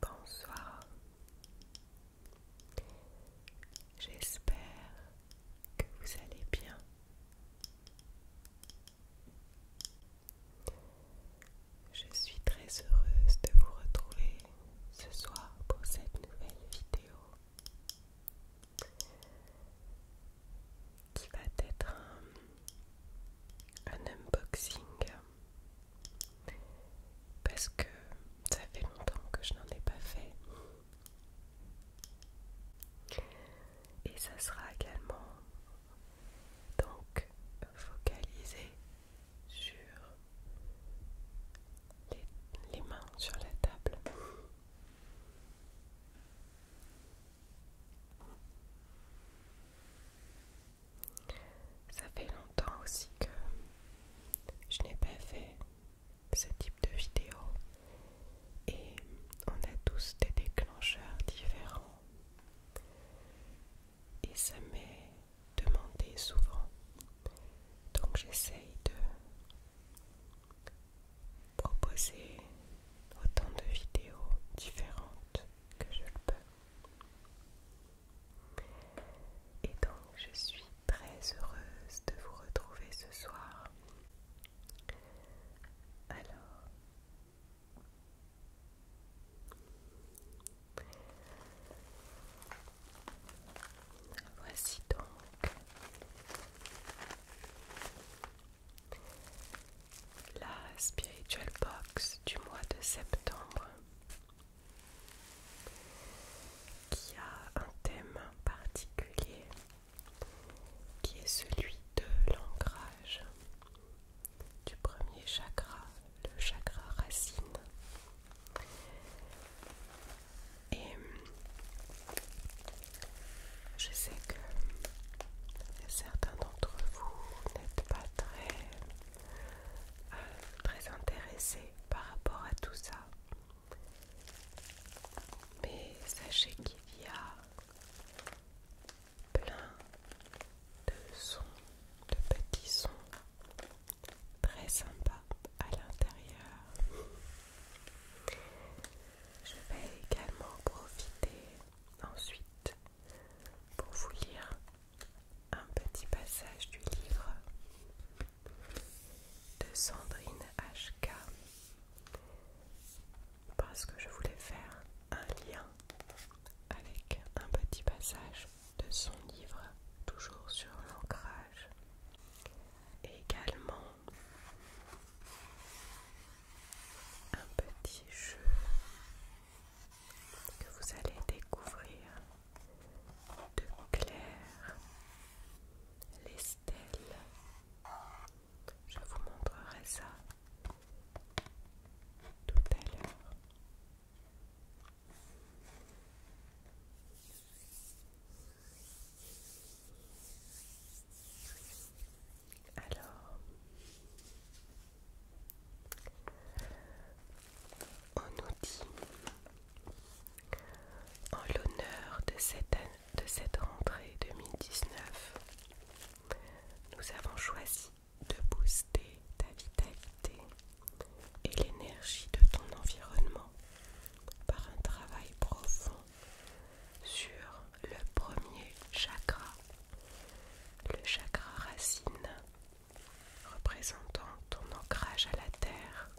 Bonsoir. J'espère que vous allez bien. Je suis très heureuse de vous retrouver ce soir pour cette nouvelle vidéo qui va être un, un unboxing parce que ça fait longtemps que je n'en ai pas fait. Et ça sera également donc focalisé sur les, mains sur la table. Ça fait longtemps aussi que je n'ai pas fait ce type de vidéo et on a tous des déclencheurs différents et ça m'est demandé souvent donc j'essaye de proposer autant de vidéos différentes que je le peux et donc je suis très heureuse de vous retrouver ce soir. Alors, voici donc la Spiritual Box du mois de septembre qui a un thème particulier qui est celui de l'ancrage du premier chakra, le chakra racine. Et je sais que certains d'entre vous n'êtes pas très euh, très intéressé par rapport à tout ça. Mais sachez qu'il y a plein de sons, de petits sons très sympas à l'intérieur. Je vais également profiter ensuite pour vous lire un petit passage du livre de Sandrine HK parce que je voulais faire un lien avec un petit passage de son livre toujours sur l'ancrage et également un petit jeu que vous allez découvrir de clair les stèles. Je vous montrerai ça tout à l'heure. Alors, on nous dit en l'honneur de cette, rentrée 2019, nous avons choisi de booster ta vitalité et l'énergie de ton environnement par un travail profond sur le premier chakra, le chakra racine représentant ton ancrage à la terre.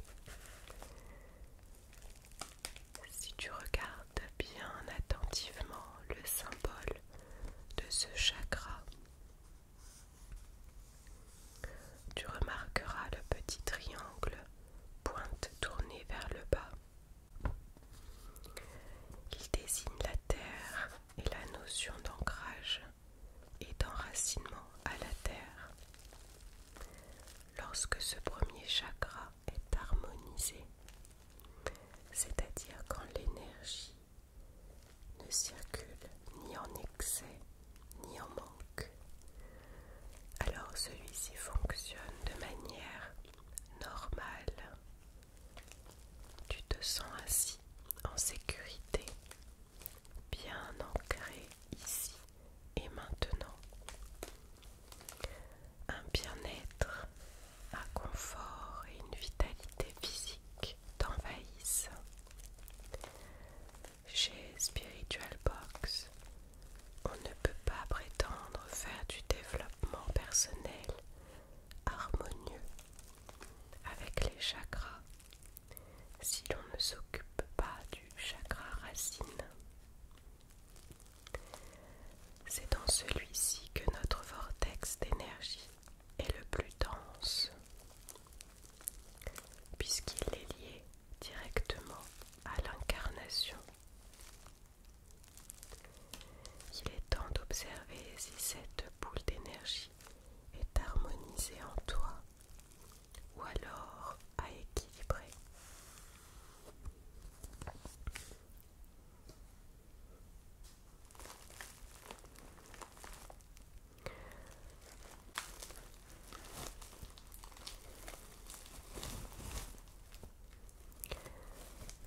Si tu regardes bien attentivement le symbole de ce chakra, tu remarqueras le petit triangle pointe tournée vers le bas. Il désigne la terre et la notion d'ancrage et d'enracinement à la terre. Lorsque ce premier chakra est harmonisé, c'est-à-dire quand l'énergie ne circule ni en excès ni en manque, alors celui-ci fonctionne de manière normale tu te sens assis en sécurité, bien ancré ici et maintenant. Un bien-être, un confort et une vitalité physique t'envahissent. Chez Spiritual Box, on ne peut pas prétendre faire du développement personnel harmonieux avec les chakras. Si l'on ne s'occupe pas du chakra racine, c'est dans celui-ci que notre vortex d'énergie est le plus dense, puisqu'il est lié directement à l'incarnation. Il est temps d'observer si cette boule d'énergie est harmonisé en toi ou alors à équilibrer.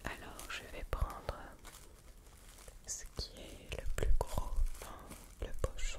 Alors je vais prendre ce qui est le plus gros dans le poche.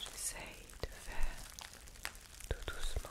J'essaye de faire tout doucement.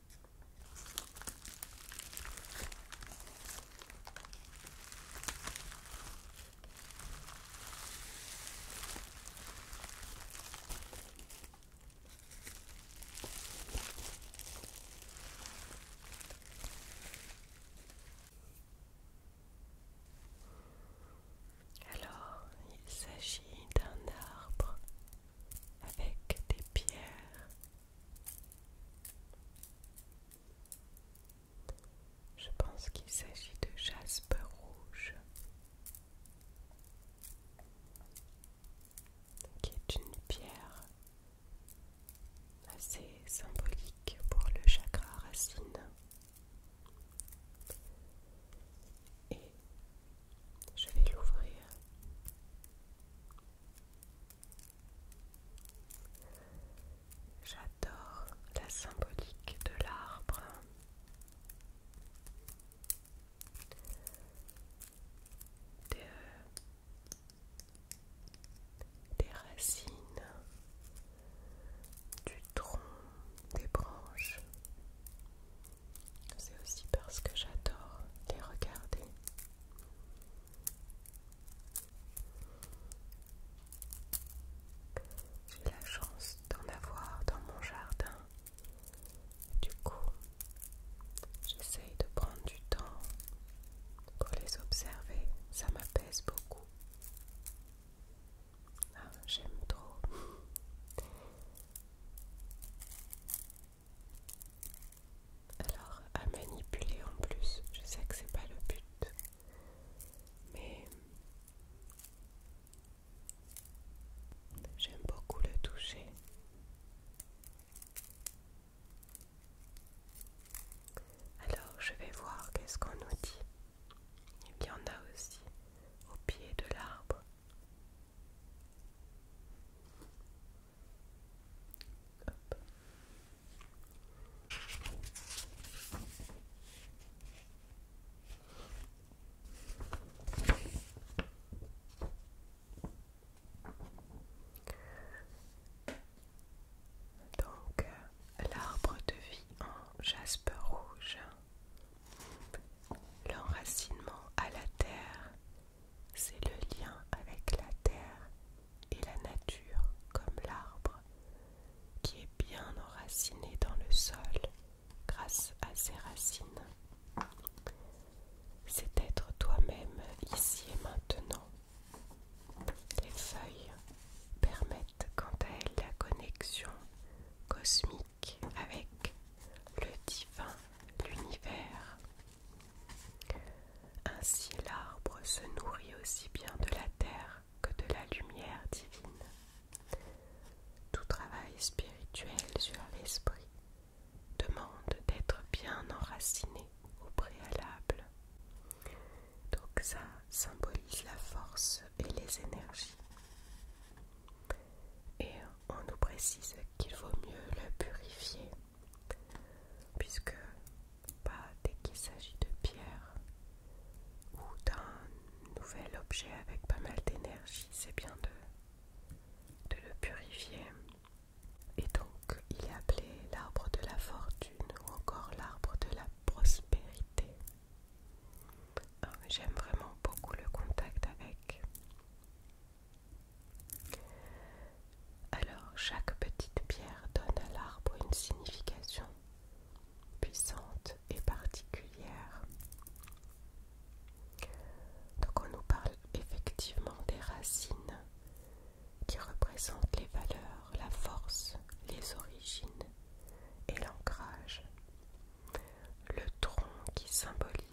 Alors, il s'agit d'un arbre avec des pierres. Je pense qu'il s'agit de jaspe rouge, qui est une pierre assez symbolique pour le chakra racine. Et je vais l'ouvrir. J'adore la symbolique de l'arbre. Des, des racines, du tronc, des branches, c'est aussi parce que j'adore les regarder. J'ai la chance d'en avoir dans mon jardin. Du coup, j'essaye de prendre du temps pour les observer. Ça m'apaise beaucoup. Ah, j'aime trop. Alors, à manipuler en plus, je sais que c'est pas le but, mais j'aime beaucoup le toucher. Alors, je vais voir qu'est-ce qu'on nous dit. Il y en a aussi au pied de l'arbre. Donc euh, l'arbre de vie en jaspe rouge, l'enracinement à la terre c'est le lien avec la terre et la nature comme l'arbre qui est bien enraciné dans le sol grâce à ses racines. C'est être toi-même ici et maintenant. Les feuilles permettent quant à elles la connexion cosmique avec le divin l'univers. Ainsi l'arbre se nourrit aussi bien de la terre que de la lumière divine. Tout travail spirituel sur l'esprit demande d'être bien enraciné au préalable. Donc ça symbolise la force et les énergies. Et on nous précise qu'il vaut mieux le purifier, puisque pas dès qu'il s'agit de pierre ou d'un nouvel objet avec pas mal d'énergie, c'est bien de le purifier. Et donc il est appelé l'arbre de la fortune ou encore l'arbre de la prospérité. Ah, j'aime vraiment beaucoup le contact avec alors chaque petite pierre donne à l'arbre une signification puissante et particulière. Donc on nous parle effectivement des racines qui représentent les valeurs, la force, les origines et l'ancrage. Le tronc qui symbolise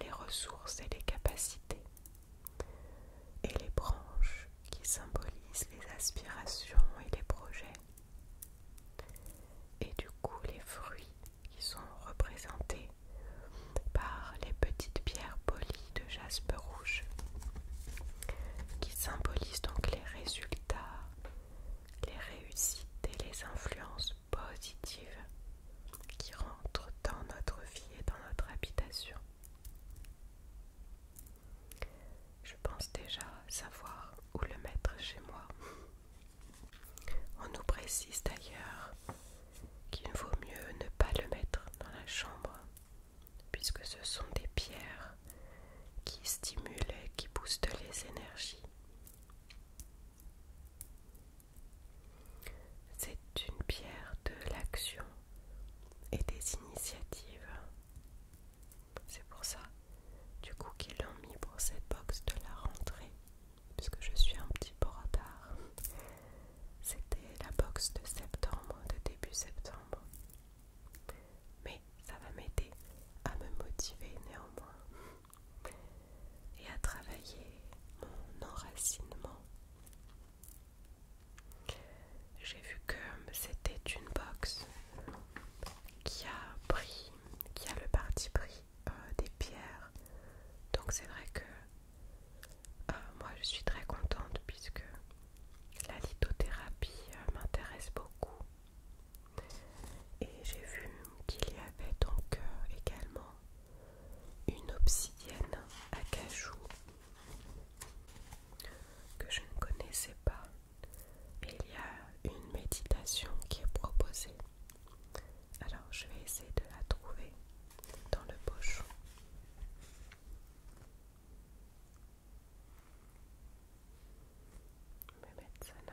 les ressources et les capacités, et les branches qui symbolisent les aspirations et les projets, et du coup les fruits qui sont représentés par les petites pierres polies de jaspe rouge, qui symbolisent donc les résultats, les réussites et les influences positive qui rentrent dans notre vie et dans notre habitation. Je pense déjà savoir où le mettre chez moi. On nous précise d'ailleurs qu'il vaut mieux ne pas le mettre dans la chambre, puisque ce sont des pierres qui stimulent et qui boostent les énergies. C'est une pierre de l'action et des initiatives. C'est pour ça, du coup, qu'ils l'ont mis pour cette box de la rentrée, puisque je suis un petit peu en retard. C'était la box de septembre, de début septembre. Mais ça va m'aider à me motiver néanmoins et à travailler mon enracinement. J'ai vu que c'était une box qui a pris, qui a le parti pris euh, des pierres. Donc c'est vrai que euh, moi je suis très contente puisque la lithothérapie euh, m'intéresse beaucoup. Et j'ai vu qu'il y avait donc également une obsidienne à cajou que je ne connaissais pas. Il y a une méditation qui est proposée. Alors je vais essayer de la trouver dans le pochon. Je vais là.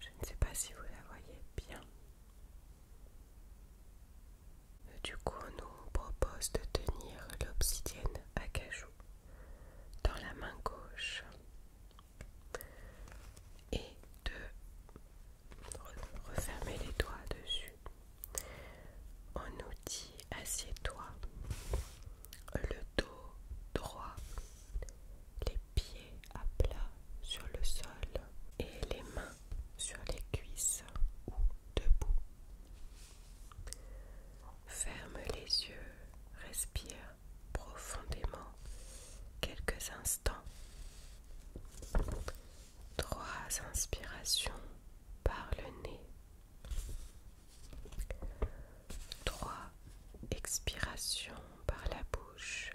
je ne sais pas si vous la voyez bien. Du coup, on nous propose de tenir l'obsidienne à cajou dans la main gauche et de refermer les doigts dessus. en outil dit assieds-toi, le dos droit, les pieds à plat sur le sol et les mains sur les cuisses ou debout. Ferme les yeux, respire profondément quelques instants. Trois inspirations par le nez. Trois expirations par la bouche.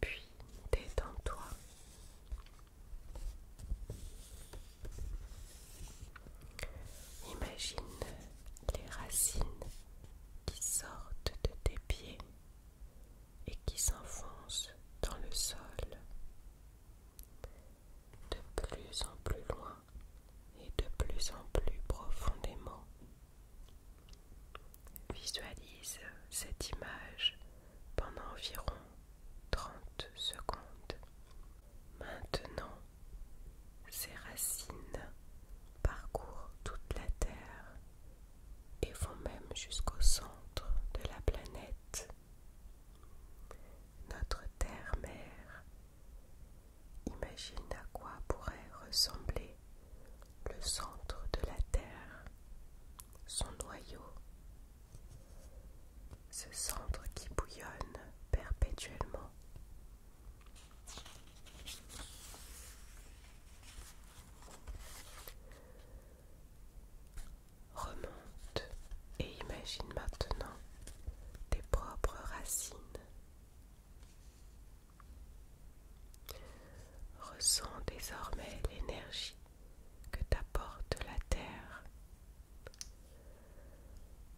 Puis détends-toi. Imagine les racines qui sortent de tes pieds et qui s'enfoncent dans le sol de plus en plus loin et de plus en plus profondément. Visualise cette image pendant environ 30 secondes. Maintenant, ses racines parcourent toute la Terre et vont même jusqu'au centre de la planète. Notre Terre-Mère, imagine à quoi pourrait ressembler le centre de la Terre, son noyau ce centre qui bouillonne perpétuellement. Remonte et imagine maintenant tes propres racines. Ressens désormais l'énergie que t'apporte la terre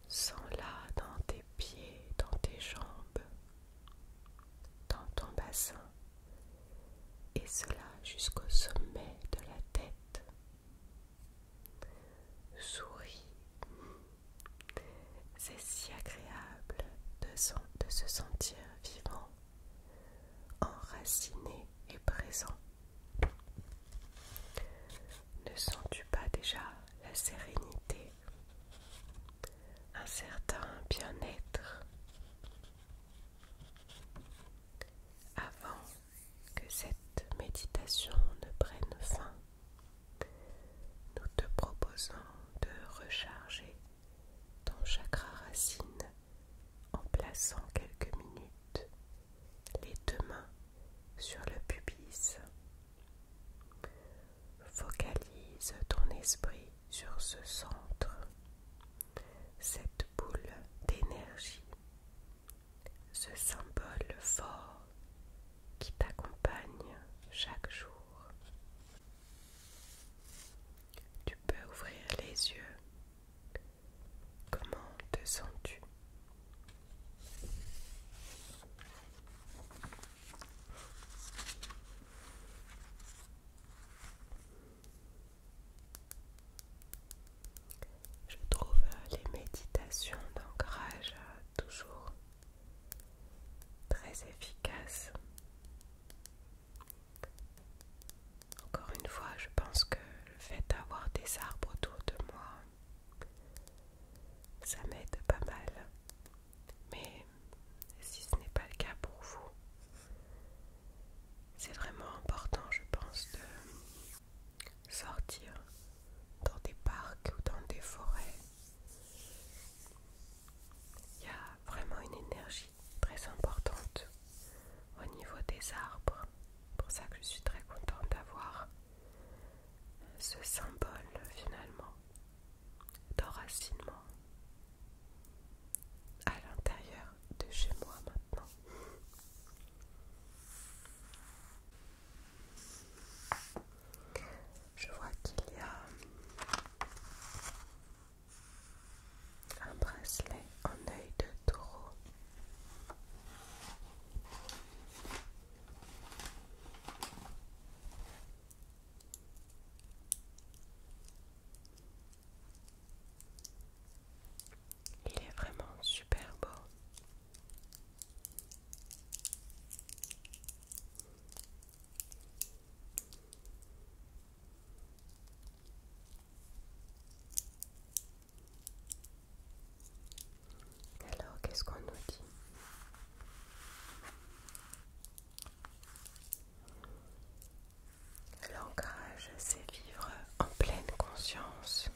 Sens là dans tes pieds, dans tes jambes, dans ton bassin, et cela jusqu'au sommet de la tête. Souris. C'est si agréable de se sentir vivant, enraciné et présent. Ne sens-tu pas déjà la sérénité, un certain bien-être Avant que cette méditation ne prenne fin, nous te proposons de recharger ton chakra racine en plaçant quelques minutes les deux mains sur le pubis. Focalise ton esprit sur ce centre, cette boule d'énergie, ce symbole fort qui t'accompagne chaque jour. Tu peux ouvrir les yeux Comment te sens-tu Je trouve les méditations d'ancrage toujours très efficaces. Encore une fois, je pense que le fait d'avoir des arbres autour de moi ça m'aide pas mal. Mais si ce n'est pas le cas pour vous, c'est vraiment important, je pense, de sortir dans des parcs ou dans des forêts. Il y a vraiment une énergie très importante au niveau des arbres. pour ça que je suis très contente d'avoir ce symbole finalement d'enracinement à l'intérieur de chez moi maintenant. Je vois qu'il y a un bracelet en œil de taureau il est vraiment super beau. Alors, qu'est-ce qu'on nous dit L'ancrage, c'est vivre en pleine conscience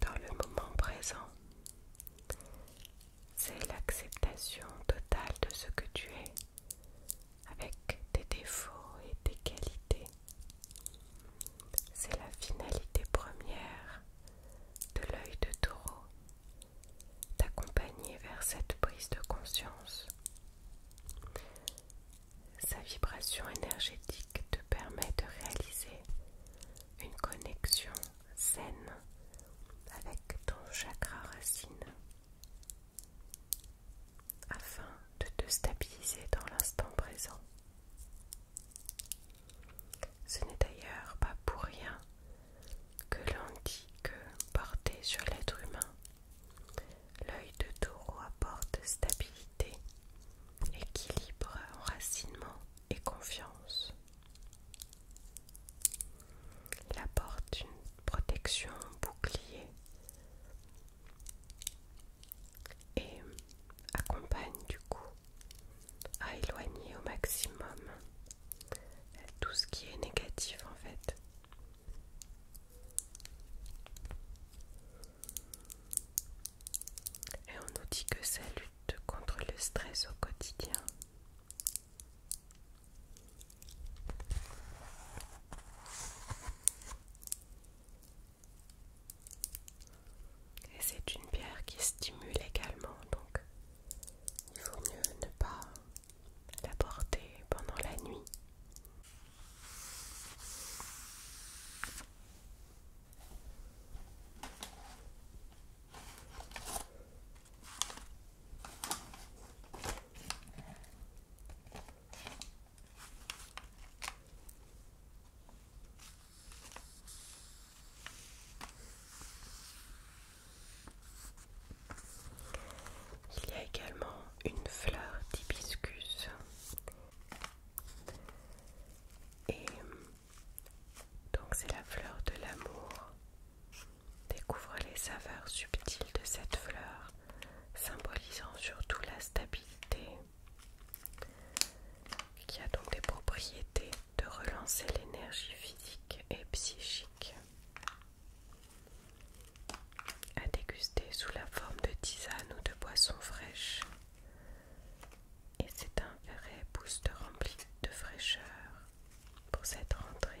dans le moment présent. C'est l'acceptation totale de ce que tu es avec des défauts et des qualités. C'est la finalité première de l'œil de taureau, t'accompagner vers cette prise de conscience. Sa vibration énergétique te permet de réaliser une connexion saine avec ton chakra racine afin de te stabiliser dans l'instant présent. Ce n'est d'ailleurs pas pour rien que l'on dit que porté sur l'être humain, l'œil de taureau apporte stabilité, équilibre, enracinement et confiance. Il apporte une protection, bouclier et accompagne du coup à éloigner au maximum tout ce qui est négatif en fait. Et on nous dit que ça lutte contre le stress au quotidien. Et c'est une pierre qui stimule également, donc il vaut mieux ne pas la porter pendant la nuit. Il y a également une fleur d'hibiscus et donc c'est la fleur de l'amour. Découvre les saveurs subtiles de cette fleur symbolisant surtout la stabilité, qui a donc des propriétés de relancer l'énergie physique et psychique, à déguster sous la forme de tisane ou de boisson fraîche. Et c'est un vrai boost rempli de fraîcheur pour cette rentrée.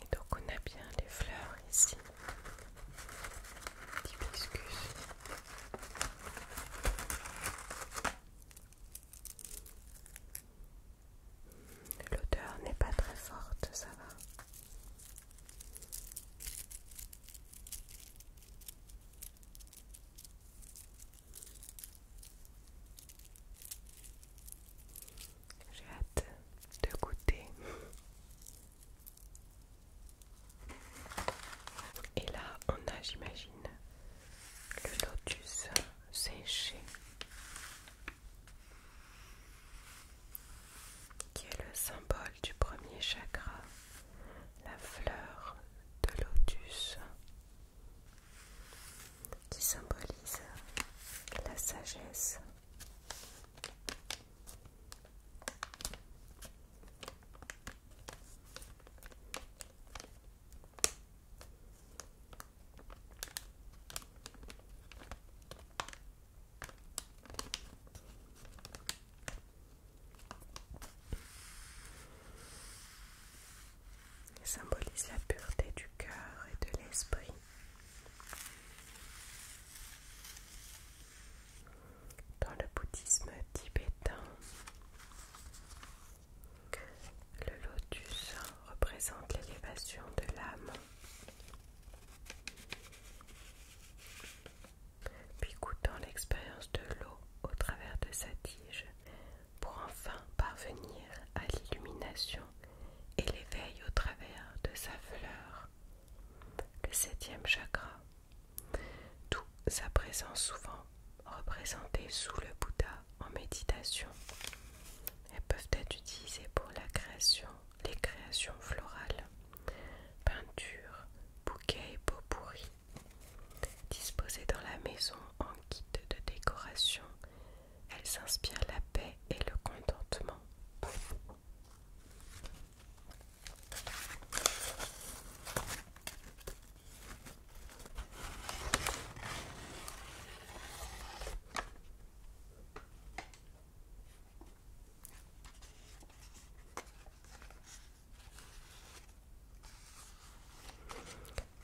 Et donc on a bien les fleurs ici, excuse L'odeur n'est pas très forte, ça va. J'ai hâte de goûter. Et là, on a, j'imagine, le lotus séché, qui est le symbole du premier chakra, la fleur de lotus qui symbolise la sagesse. Il symbolise la pureté du cœur et de l'esprit. Dans le bouddhisme tibétain, le lotus représente l'élévation de l'âme. Puis goûtant l'expérience de l'eau au travers de sa tige, pour enfin parvenir à l'illumination et l'éveil au travers de sa fleur. Le septième chakra, d'où sa présence souvent représentée sous le Bouddha en méditation. Elles peuvent être utilisées pour la création, les créations florales, peintures, bouquets et peaux pourries, Disposée dans la maison en guide de décoration, elle s'inspire la paix et le contentement.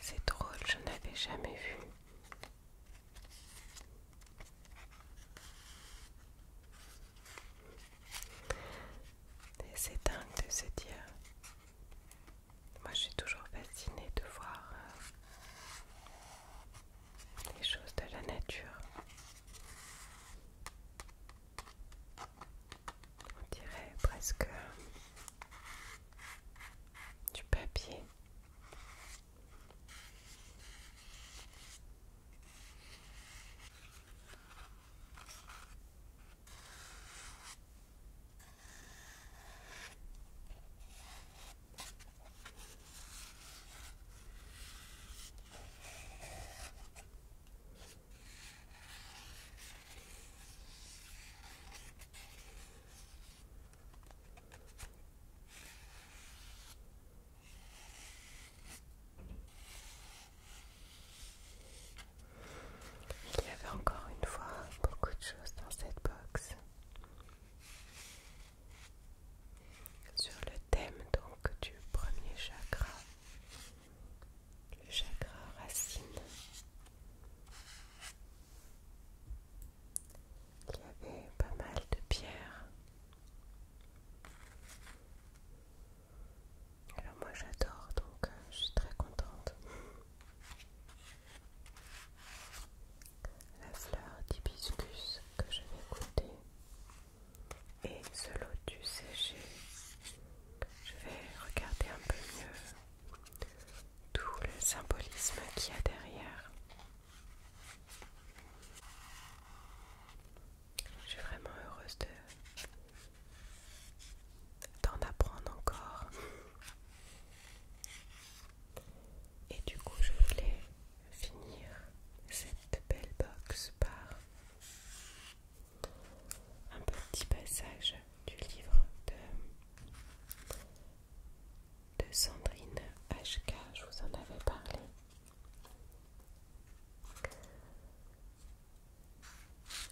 C'est drôle, je n'avais jamais vu. C'est dingue de se dire. Moi, je suis toujours fascinée de voir euh, les choses de la nature on dirait presque du papier. Il y avait encore une fois beaucoup de choses dans cette box sur le thème donc du premier chakra, le chakra racine. Il y avait pas mal de pierres. Alors moi j'adore donc euh, je suis très contente. La fleur d'hibiscus que je vais goûter et ce lotus séché. Je vais regarder un peu mieux tout le symbolisme qu'il y a derrière. Je suis vraiment heureuse d'en apprendre encore. Et du coup, je voulais finir cette belle box par un petit passage du livre de, Sandrine HK, je vous en avais parlé.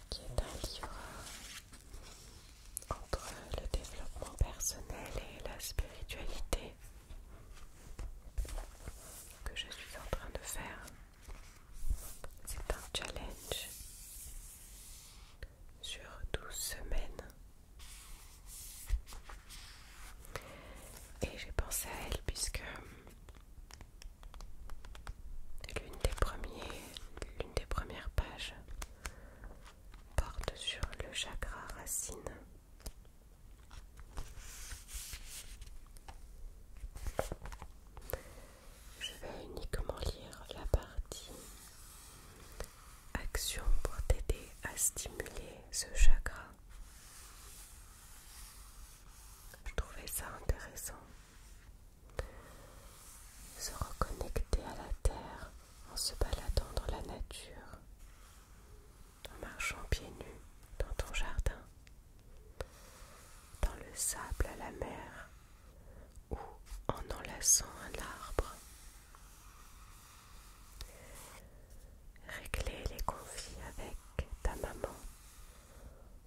Qui est un livre entre le développement personnel et la spiritualité que je suis en train de faire. C'est un challenge sur douze semaines. Et j'ai pensé à elle puisque l'une des, premiers, l'une des premières pages porte sur le chakra racine je vais uniquement lire la partie action pour t'aider à stimuler ce chakra. Je trouvais ça intéressant. Se reconnecter à la terre en se baladant dans la nature, en marchant pieds nus dans ton jardin, dans le sable à la mer, ou en enlaçant un arbre. Régler les conflits avec ta maman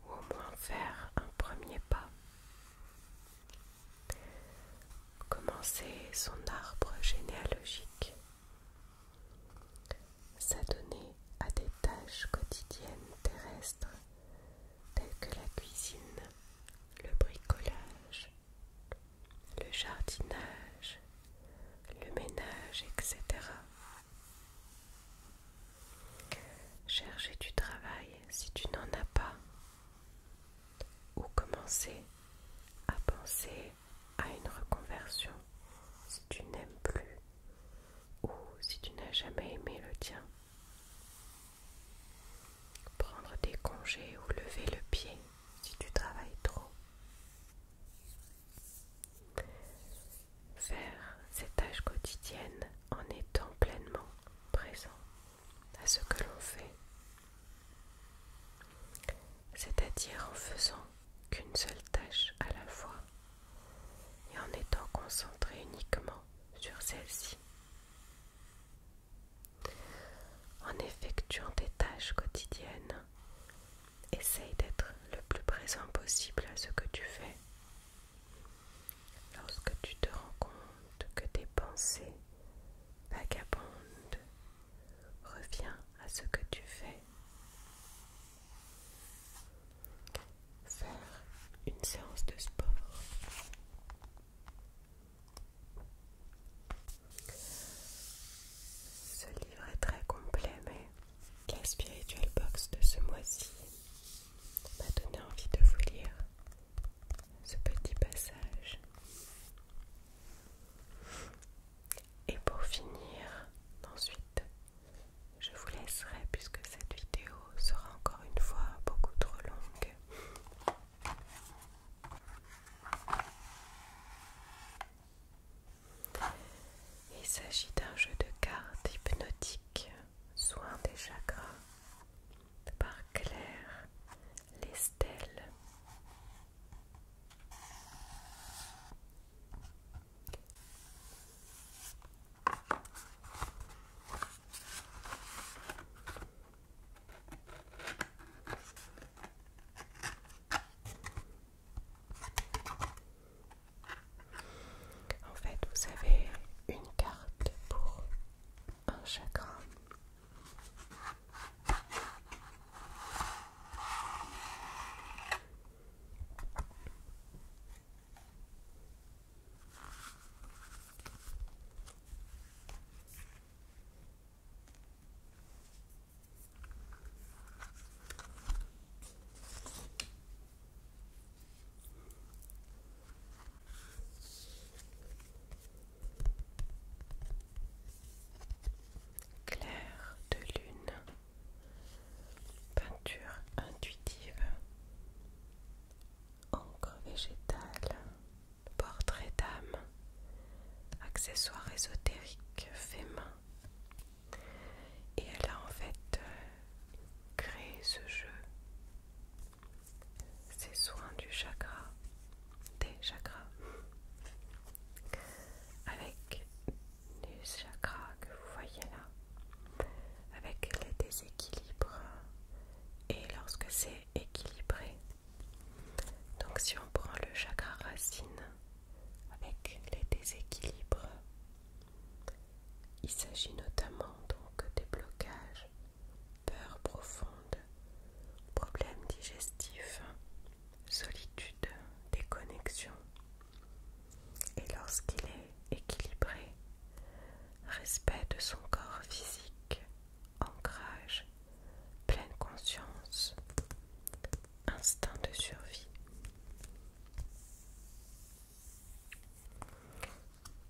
ou au moins faire un premier pas. Commencer son arbre généalogique. S'adonner à des tâches quotidiennes terrestres tels que la cuisine, le bricolage, le jardinage, le ménage, etc. Chercher du travail si tu n'en as pas ou commencer à penser à une reconversion si tu n'aimes plus ou si tu n'as jamais aimé le tien. Prendre des congés ou lever le pied si tu travailles trop. Faire ces tâches quotidiennes en étant pleinement présent à ce que l'on fait. C'est-à-dire en faisant qu'une seule tâche à la fois et en étant concentré uniquement sur celle-ci. En effectuant tes tâches quotidiennes, essaye d'être le plus présent possible à ce que tu fais. Lorsque tu te rends compte que tes pensées vagabondent, reviennent à ce que tu fais. Faire une séance de sport. Ce livre est très complet, mais la Spiritual Box de ce mois-ci m'a donné envie de vous lire ce petit passage. Et pour finir, ensuite, je vous laisserai puisque cette vidéo sera encore une fois beaucoup trop longue. Il s'agit d'un jeu de cartes hypnotique, soin des chakras, par Claire Lestel. En fait, vous avez une carte pour un chagrin. Clair de lune, peinture intuitive, encre végétale, portrait d'âme, accessoire ésotériques, fait main. Et elle a en fait euh, créé ce jeu, ces soins du chakra, des chakras, avec les chakras que vous voyez là, avec les déséquilibres. Et lorsque c'est équilibré. Donc si on prend le chakra racine avec les déséquilibres, il s'agit notamment donc des blocages, peur profondes, problèmes digestifs, solitude, déconnexion. Et lorsqu'il est équilibré, respect de son corps physique, ancrage, pleine conscience, instinct de survie.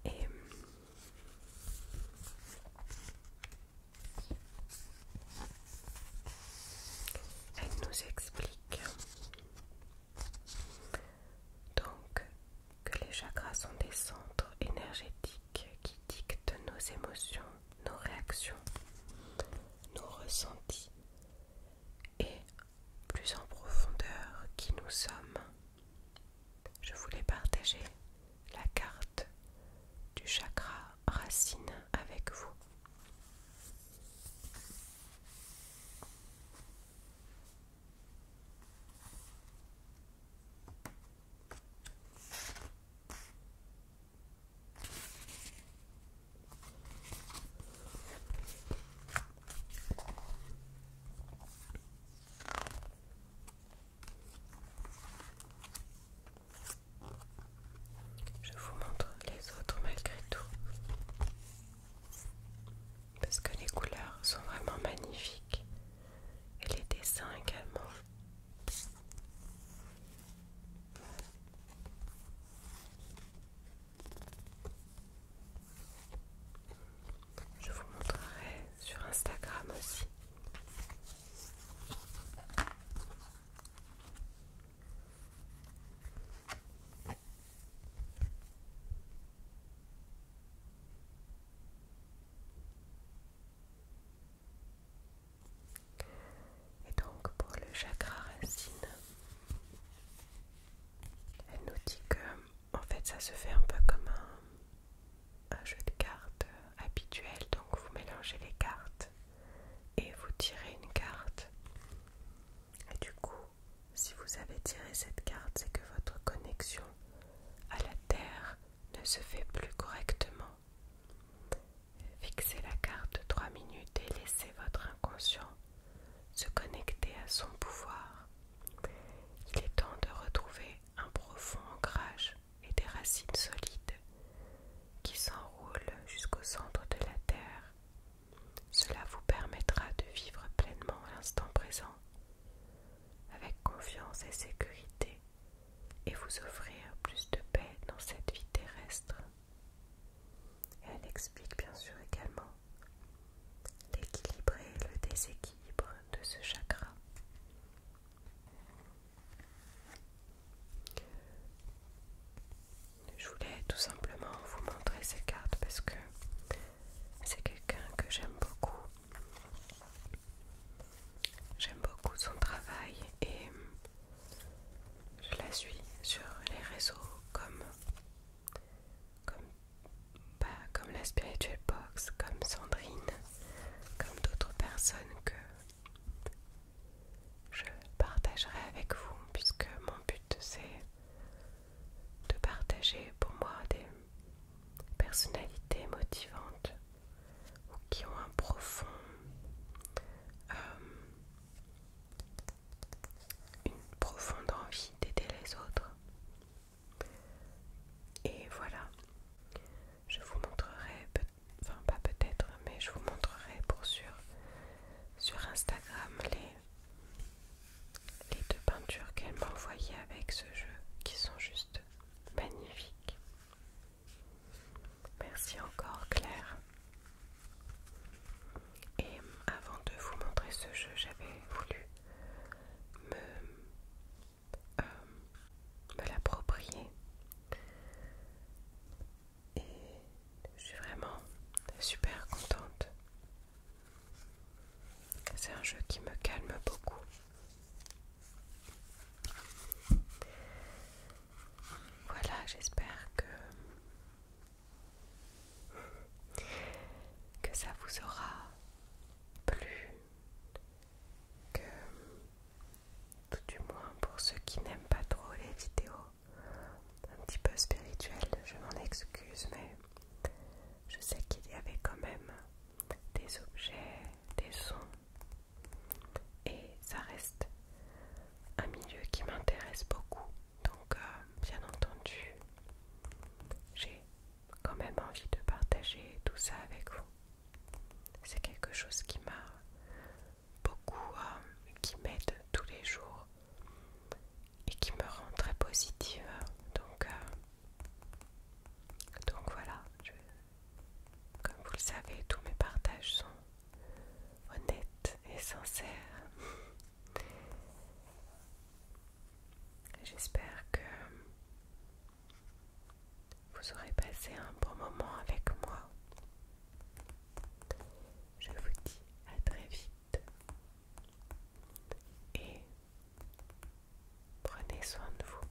elle nous explique donc que les chakras sont des centres énergétiques qui dictent nos émotions, nos réactions, nos ressentis et plus en profondeur qui nous sommes. Je voulais partager la carte du chakra racine avec vous. Je vous montre les autres malgré tout. Parce que les couleurs sont vraiment magnifiques et les dessins également. Je vous montrerai sur Instagram aussi. Et donc pour le chakra racine, elle nous dit que en fait ça se fait un peu comme un, jeu de cartes habituel. Donc vous mélangez les cartes et vous tirez une carte. Et du coup, si vous avez tiré cette carte, c'est que votre connexion à la terre ne se fait plus correctement. Fixez la carte 3 minutes et laissez votre inconscient se connecter à son pouvoir. Il est temps de retrouver un profond ancrage et des racines solides qui s'enroulent jusqu'au centre de la terre. Cela vous permettra de vivre pleinement l'instant présent, avec confiance et sécurité et vous offrir plus de paix dans cette vie terrestre. elle explique bien sûr également l'équilibre et le déséquilibre de ce chakra. Je voulais tout simplement vous montrer ces cartes parce que c'est quelqu'un que j'aime beaucoup J'aime beaucoup son travail et je la suis sur les réseaux comme bah, comme, la Spiritual Box, comme Sandrine, comme d'autres personnes que je partagerai avec vous puisque mon but c'est de partager pour moi des personnalités motivantes ou qui ont un profond euh, une profonde envie d'aider les autres et voilà je vous montrerai enfin pas peut-être mais je vous montrerai pour sûr sur Instagram les, les deux peintures qu'elle m'a envoyées avec ce jeu qui sont juste Magnifique. Merci encore Claire. Et avant de vous montrer ce jeu, j'avais voulu euh, me, l'approprier. Et je suis vraiment super contente. C'est un jeu qui me calme beaucoup. Voilà, j'espère que que ça vous aura plu, que tout du moins pour ceux qui n'aiment pas trop les vidéos un petit peu spirituelles, je m'en excuse, mais je sais qu'il y avait quand même des objets, des sons. Et ça reste un milieu qui m'intéresse beaucoup. Donc, euh, bien entendu, j'ai quand même envie de partager tout ça avec vous. C'est quelque chose qui m'a beaucoup, euh, qui m'aide tous les jours et qui me rend très positive. Donc, euh, donc voilà, comme vous le savez, tous mes partages sont honnêtes et sincères. J'espère que vous aurez passé un bon moment avec moi. Je vous dis à très vite et Prenez soin de vous.